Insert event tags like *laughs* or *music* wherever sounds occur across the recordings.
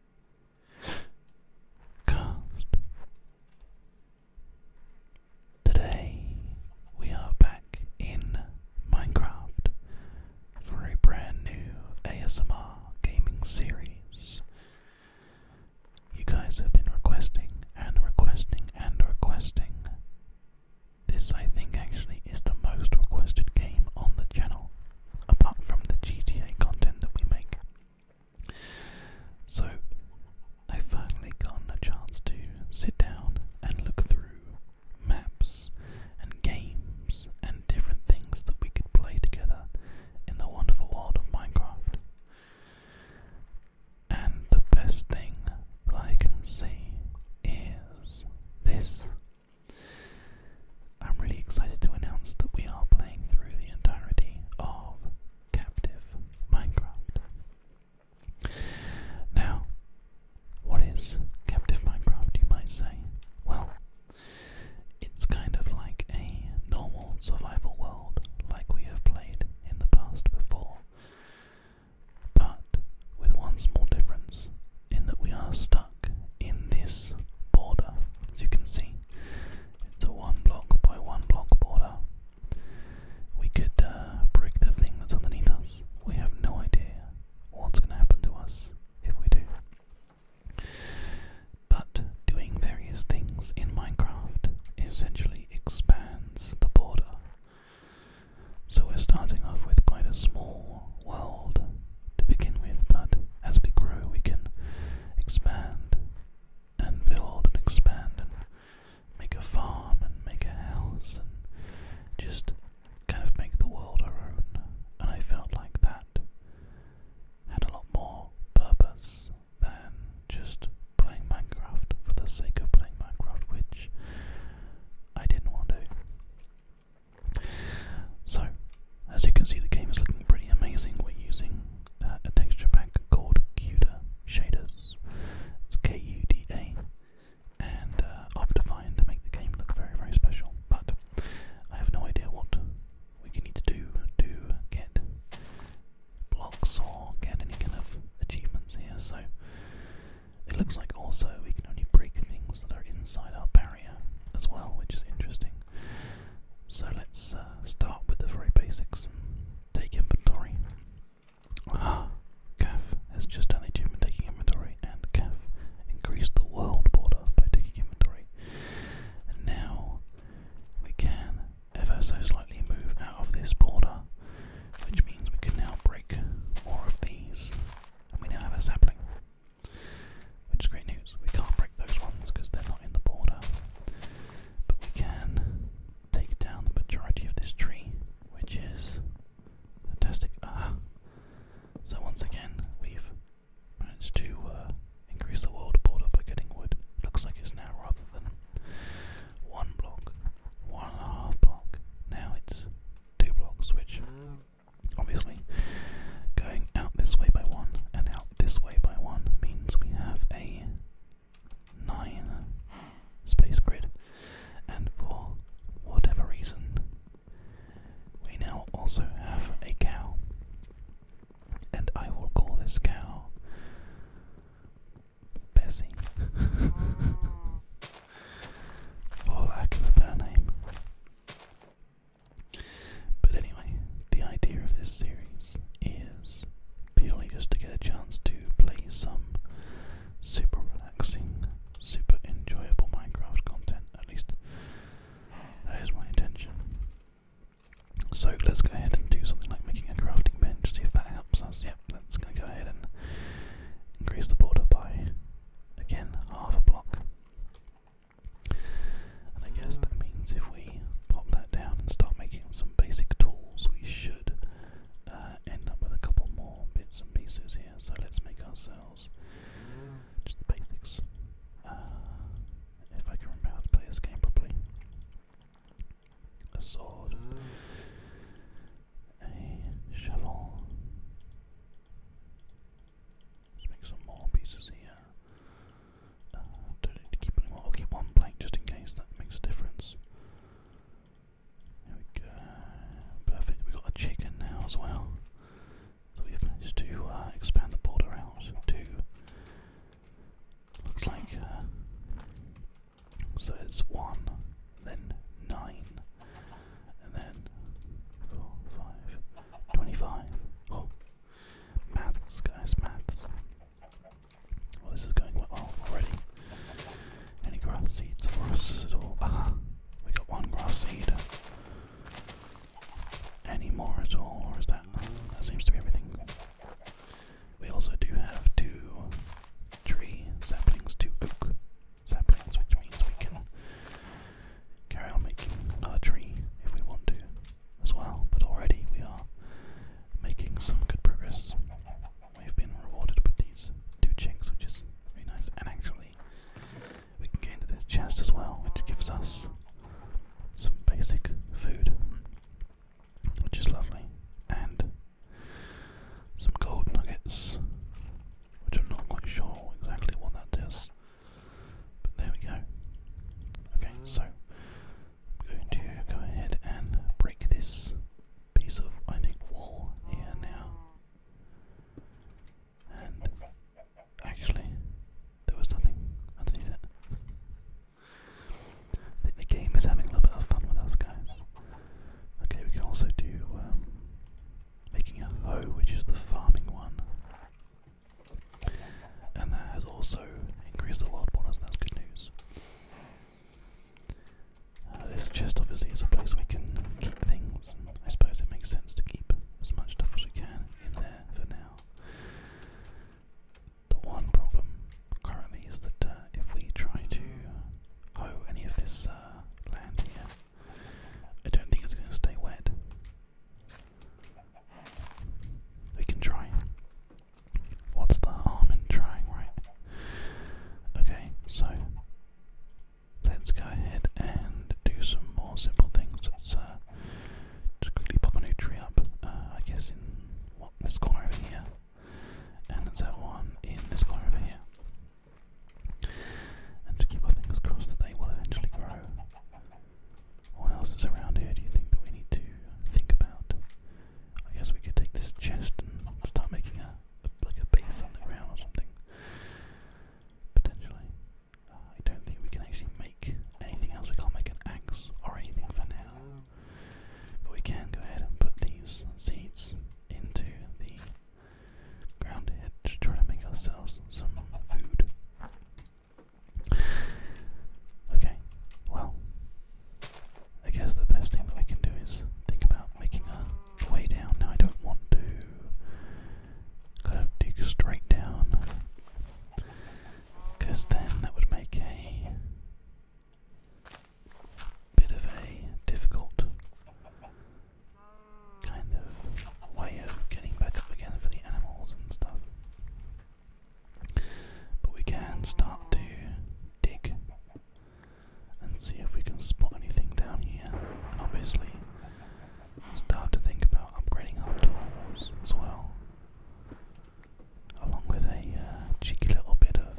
Cast. Today we are back in Minecraft for a brand new ASMR gaming series. You guys have been requesting and requesting and requesting. This, I think, actually is the most requested game on the channel apart from the GTA content that we make. So, I've finally gotten a chance to sit down and look through maps and games and different things that we could play together in the wonderful world of Minecraft. And the best thing that I can see is this I'm really excited to announce that we are playing through the entirety of Captive Minecraft. Now, what is Captive Minecraft, you might say? Well, it's kind of like a normal survival world, like we have played in the past before, but with one small difference in that we are starting in this border. As you can see, it's a one block by one block border. We could uh, break the thing that's underneath us. We have no idea what's going to happen to us if we do. But doing various things in Minecraft essentially expands the border. So we're starting off with quite a small world to begin with, but as we grow, we can expand and build and expand and make a farm and make a house and just kind of make the world our own. And I felt like that had a lot more purpose than just playing Minecraft for the sake of playing Minecraft, which I didn't want to. So, as you can see, the game is looking pretty amazing. We're using uh, a texture pack called Kuda Shaders. It's K-U-D-A, and uh, to make the game look very, very special. But I have no idea what we need to do to get blocks or get any kind of achievements here. So it looks like also we can only break things that are inside our barrel as well, which is interesting. So let's uh, start with the very basics. Take inventory. Aha! Kaf has just done the achievement taking inventory, and Kaf increased the world border by taking inventory. And now we can ever so slightly move out of this border, which means we can now break more of these, and we now have a sapling. Which is great news. We can't break those ones because they're not in the border. But we can take down the majority of this tree, which is fantastic. So once again, we've managed to uh, increase the world border by getting wood. Looks like it's now rather than one block, one and a half block. Now it's two blocks, which mm. Obviously, going out this way by one and out this way by one means we have a nine space grid, and for whatever reason, we now also have a cow, and I will call this cow Bessie. *laughs* For lack of a better name, but anyway, the idea of this series is purely just to get a chance to play some super relaxing, super enjoyable Minecraft content. At least that is my intention. So let's go ahead and do something like making a crafting bench, see if that helps us. Yep, that's going to go ahead and increase the border by, again, half a block. And I guess that means if we pop that down and start making some basic tools, we should uh, end up with a couple more bits and pieces here. So let's make ourselves just the basics. Uh, if I can remember to play this game properly. A sword, a shovel, Let's make some more pieces here. Uh, don't need to keep any more. I'll keep one blank just in case that makes a difference. There we go. Perfect. We've got a chicken now as well. So we've managed to uh, expand the border out to. Looks like. Uh, so it's one, then nine, and then four, five, 25. Oh, maths, guys, maths. Well, this is going well already. Any grass seeds for us at all? we got one grass seed. Any more at all, or is that? That seems to be everything. We also do have two tree saplings, two oak saplings, which means we can carry on making another tree if we want to as well. But already we are making some good progress. We've been rewarded with these two chicks, which is very nice. And actually, we can get into this chest as well, which gives us some basic food, which is lovely, and some gold nuggets, which I'm not quite sure exactly what that is. But there we go. Okay, so I'm going to go ahead and break this piece of, I think, wall here now. And actually, there was nothing underneath it. I think the game is having a little bit of fun with us, guys. Okay, we can also do um, making a hoe, which is the farming one. And that has also increased the wild borders, and that's good news. Uh, this chest obviously is a place we can keep things, and I suppose it makes sense to keep as much stuff as we can in there for now. The one problem currently is that uh, if we try to hoe any of this uh, land here, I don't think it's going to stay wet. We can try. What's the harm trying, right? Okay, so let's go ahead and do some more simple things. let uh, just quickly pop a new tree up, uh, I guess, in this corner here. And let one in this corner here and to keep our fingers crossed that they will eventually grow. What else is around here do you think that we need to think about? I guess we could take this chest and start making a, a like a base on the ground or something. Potentially. Uh, I don't think we can actually make anything else. We can't make an axe or anything for now. But we can go ahead and put these seeds into the ground ahead try to make ourselves some food. Okay, well, I guess the best thing that we can do is think about making a way down. Now, I don't want to kind of dig straight down, because then that would make a bit of a difficult kind of way of getting back up again for the animals and stuff. But we can start to dig and see if we can spot anything down here, and obviously start to think about upgrading our tools as well, along with a uh, cheeky little bit of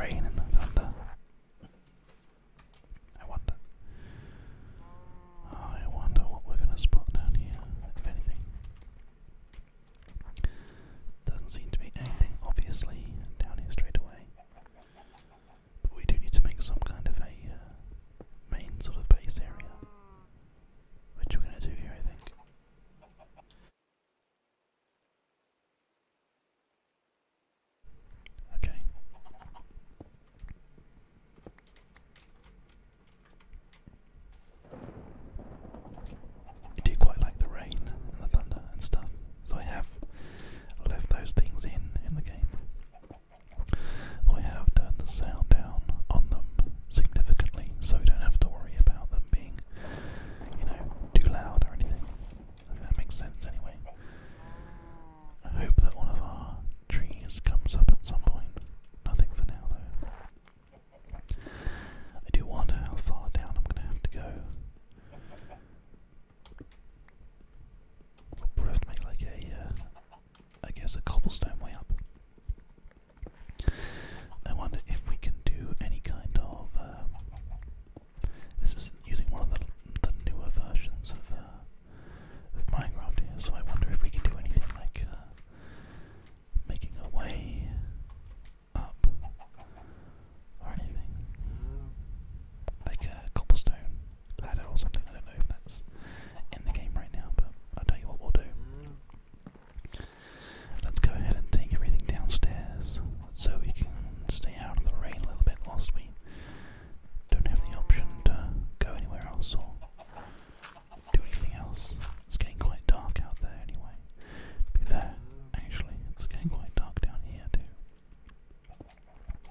rain and thunder. I wonder. I wonder what we're gonna spot down here, if anything. Doesn't seem to be anything, obviously, down here straight away. But we do need to make some kind of a uh, main sort of base area, which we're gonna do here, I think. Okay. I do quite like the rain and the thunder and stuff, so I have left those things in in the game. I have turned the sound down on them significantly, so we don't have to worry about them being, you know, too loud or anything. I that makes sense anyway. I hope that one of our trees comes up at some point. Nothing for now though. I do wonder how far down I'm gonna have to go. We'll have to make like a, uh, I guess a cobblestone way up. I wonder if we can do any kind of uh, this is using one of the, newer versions uh, of, Minecraft here, so I wonder if we can do anything like uh, making a way up or anything. Like a cobblestone ladder or something. I don't know if that's in the game right now, but I'll tell you what we'll do. Let's go ahead and take everything downstairs so we can stay out of the rain a little bit whilst we don't have the option to go anywhere else or do anything else. It's getting quite dark out there anyway. be fair, actually, it's getting quite dark down here too.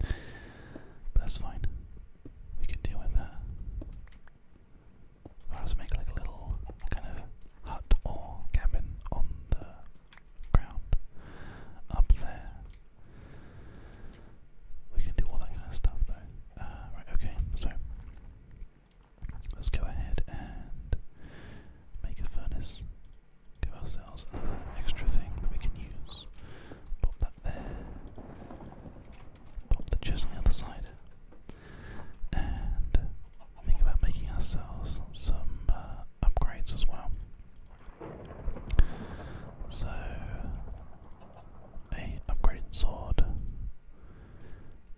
But that's fine. We can deal with that. Or else make like a little kind of hut or cabin on the ground up there. We can do all that kind of stuff though. Uh, right, okay, so let's go ahead and make a furnace. Give ourselves another extra thing that we can use. Pop that there. Pop the chest on the other side. And think about making ourselves some uh, upgrades as well. So, a upgraded sword,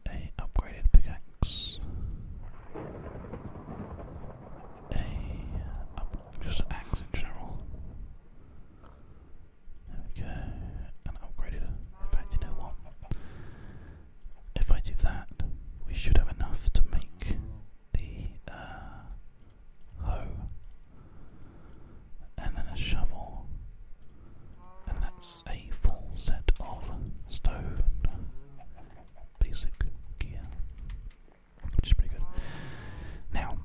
a upgraded pickaxe, a just axe in general. There we go, and upgraded. In fact, you know what? If I do that, we should have enough to make the uh, hoe, and then a shovel, and that's a full set of stone basic gear, which is pretty good. Now,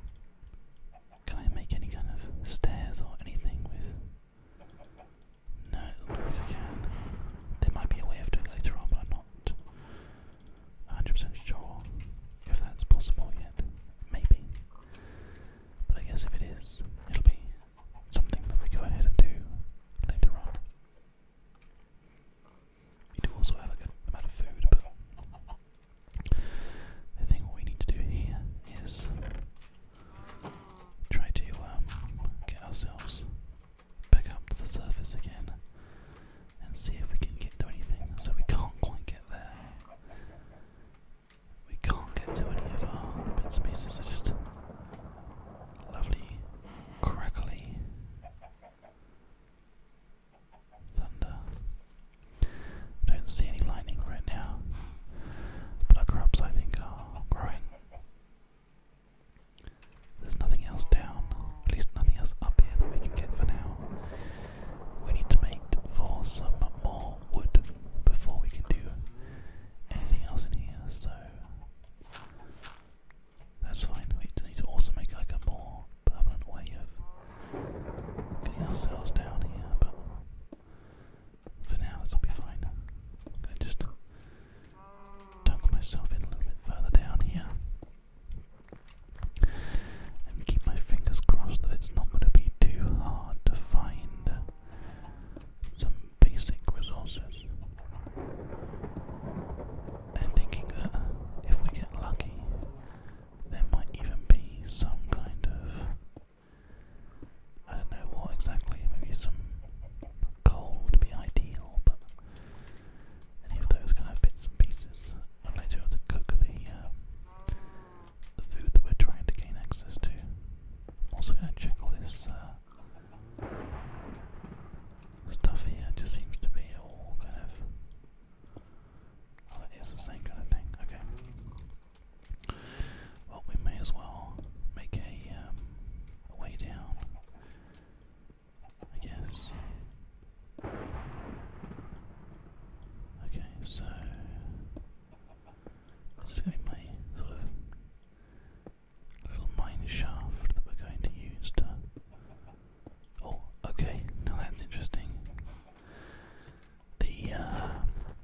can I make any kind of stairs or anything with? No, not think I can. There might be a way of doing later on, but I'm not 100% sure if that's possible yet. Maybe. But I guess if it is, it'll be something that we go ahead and do later on. We do also have a good amount of food, but I think what we need to do here is try to um, get ourselves back up to the surface again and see if we can get to anything. So we can't quite get there. We can't get to any of our bits and pieces. It's just lovely, crackly thunder. I don't see any lightning right now, but crops I think are growing there's nothing else down, at least nothing else up here that we can get for now. We need to make for some more wood before we can do anything else in here, so that's fine. We need to also make like a more permanent way of getting ourselves down here, but for now this will be fine. just tuck myself in a little bit further down here and keep my fingers crossed that it's not going to be too hard to find some basic resources. i thinking that if we get lucky, there might even be some kind of. I don't know what exactly, maybe some coal would be ideal, but any of those kind of bits and pieces. I'd like to cook the, uh, the food that we're trying to gain access to. also going to check all this uh, stuff here. just seems to be all kind of. Oh, it is the same kind of thing. Okay. Well, we may as well make a um, way down. I guess. Okay, so this is going to be my sort of little mine shaft that we're going to use to. Oh, okay, now that's interesting. The uh,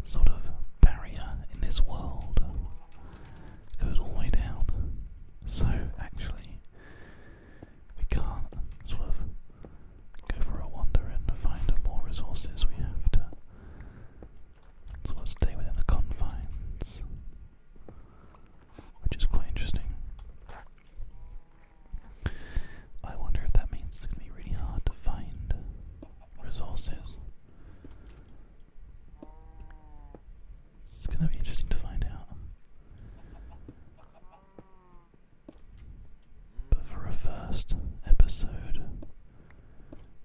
sort of barrier in this world goes all the way down. So actually, we can't sort of go for a wander and find more resources. We have to sort of stay within the confines, which is quite interesting. I wonder if that means it's going to be really hard to find resources. It's gonna be interesting to find out. But for a first episode,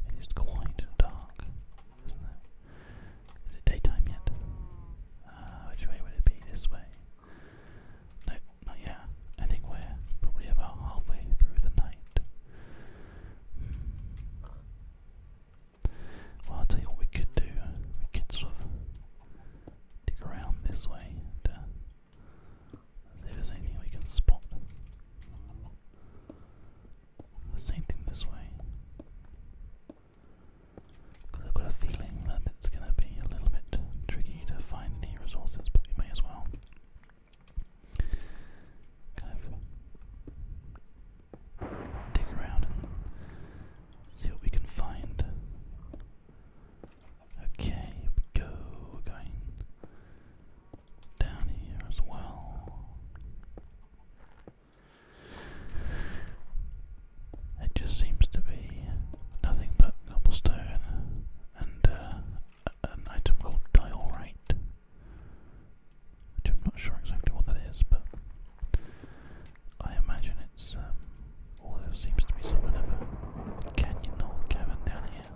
it is quite dark, isn't it? is it daytime yet? Uh, which way would it be? This way? No, not yet. I think we're probably about halfway through the night. Well, I'll tell you what we could do. We could sort of dig around this way to see if there's anything we can spot. same thing this way. I've got a feeling that it's going to be a little bit tricky to find any resources, but we may as well dig around and see what we can find. Okay, we go. going down here as well. It just seems to be nothing but cobblestone and uh, an item called diorite which I'm not sure exactly what that is, but I imagine it's um, all seems to be some kind of canyon or cavern down here.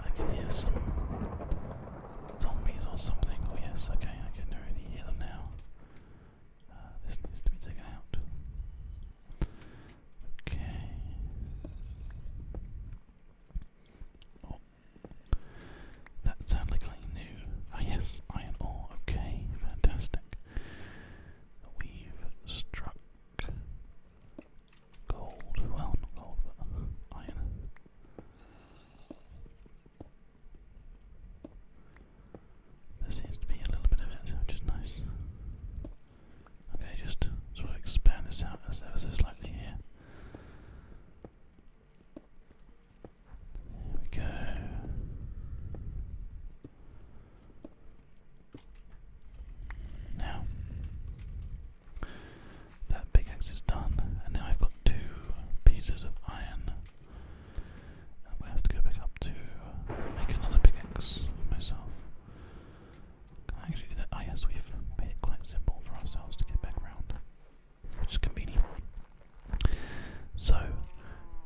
I can hear some zombies or something. Oh yes, okay, I can already hear them now. Uh, this needs to be taken out. Okay. Oh, that sounds like something new. Ah yes, iron ore. Okay, fantastic. We've struck gold. Well, not gold, but iron. There seems to be a little bit of it, which is nice. Okay, just sort of expand this out as ever so slightly here. There we go. Now that big axe is done, and now I've got two pieces of iron. I'm have to go back up to make another big axe for myself. Can I actually do that? Ah, yes, we've made it quite simple for ourselves to get back round. Which is convenient. So,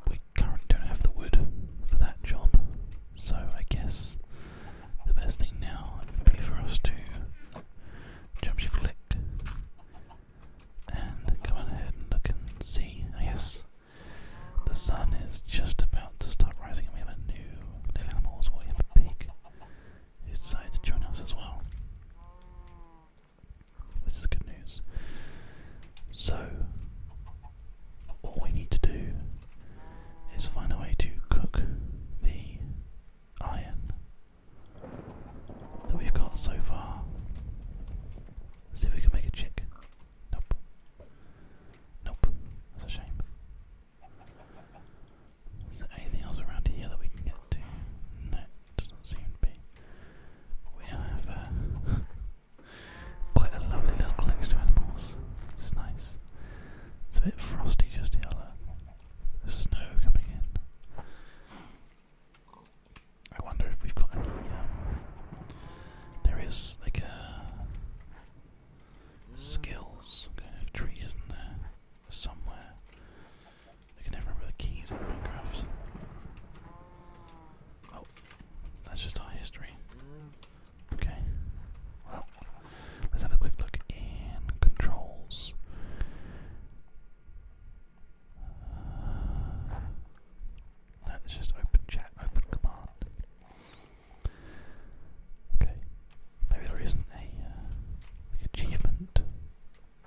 we currently don't have the wood for that job, so I guess the best thing now would be for us to jump shift flick, and come on ahead and look and see. Yes, the sun is just about to start rising and we have a new little animal as well. We have a pig. He's decided to join us as well. This is good news. So, all we need to do is find a way to cook the iron that we've got so far. see if we can make a chick. Nope. Nope. That's a shame anything else around here that we can get to? No, doesn't seem to be. We have uh, *laughs* quite a lovely little collection of animals. It's nice. It's a bit frosty just here. The snow coming in. I wonder if we've got any. Um, there is like a uh, skills kind of tree, isn't there? somewhere. I can never remember the keys in Minecraft. Oh, that's just our history. Okay. Well, let's have a quick look in controls. Uh, no, just open chat, open command. Okay, Maybe there isn't a uh, achievement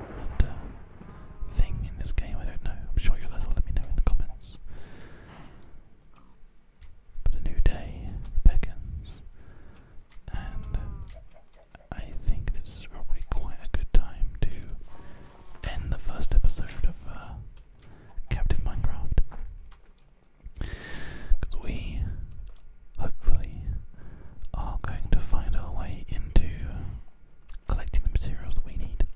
uh, thing in this game. I don't know. I'm sure you'll let me know in the comments. But a new day beckons, and I think this is probably quite a good time to end the first episode of uh, Captain Minecraft. Because we hopefully, are going to find our way into collecting the materials that we need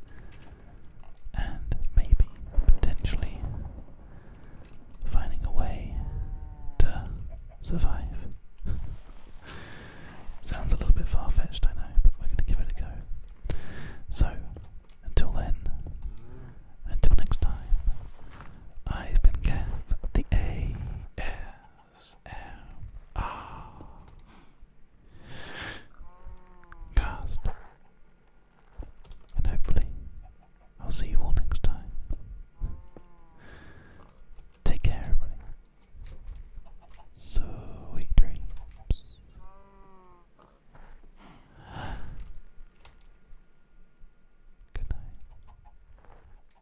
and maybe potentially finding a way to survive. *laughs* Sounds a little bit far fetched, I know, but we're going to give it a go. So, until then, until next time, I've been Kev of the ASMR cast, and hopefully I'll see you all next time. Take care, everybody. Sweet dreams. Good night.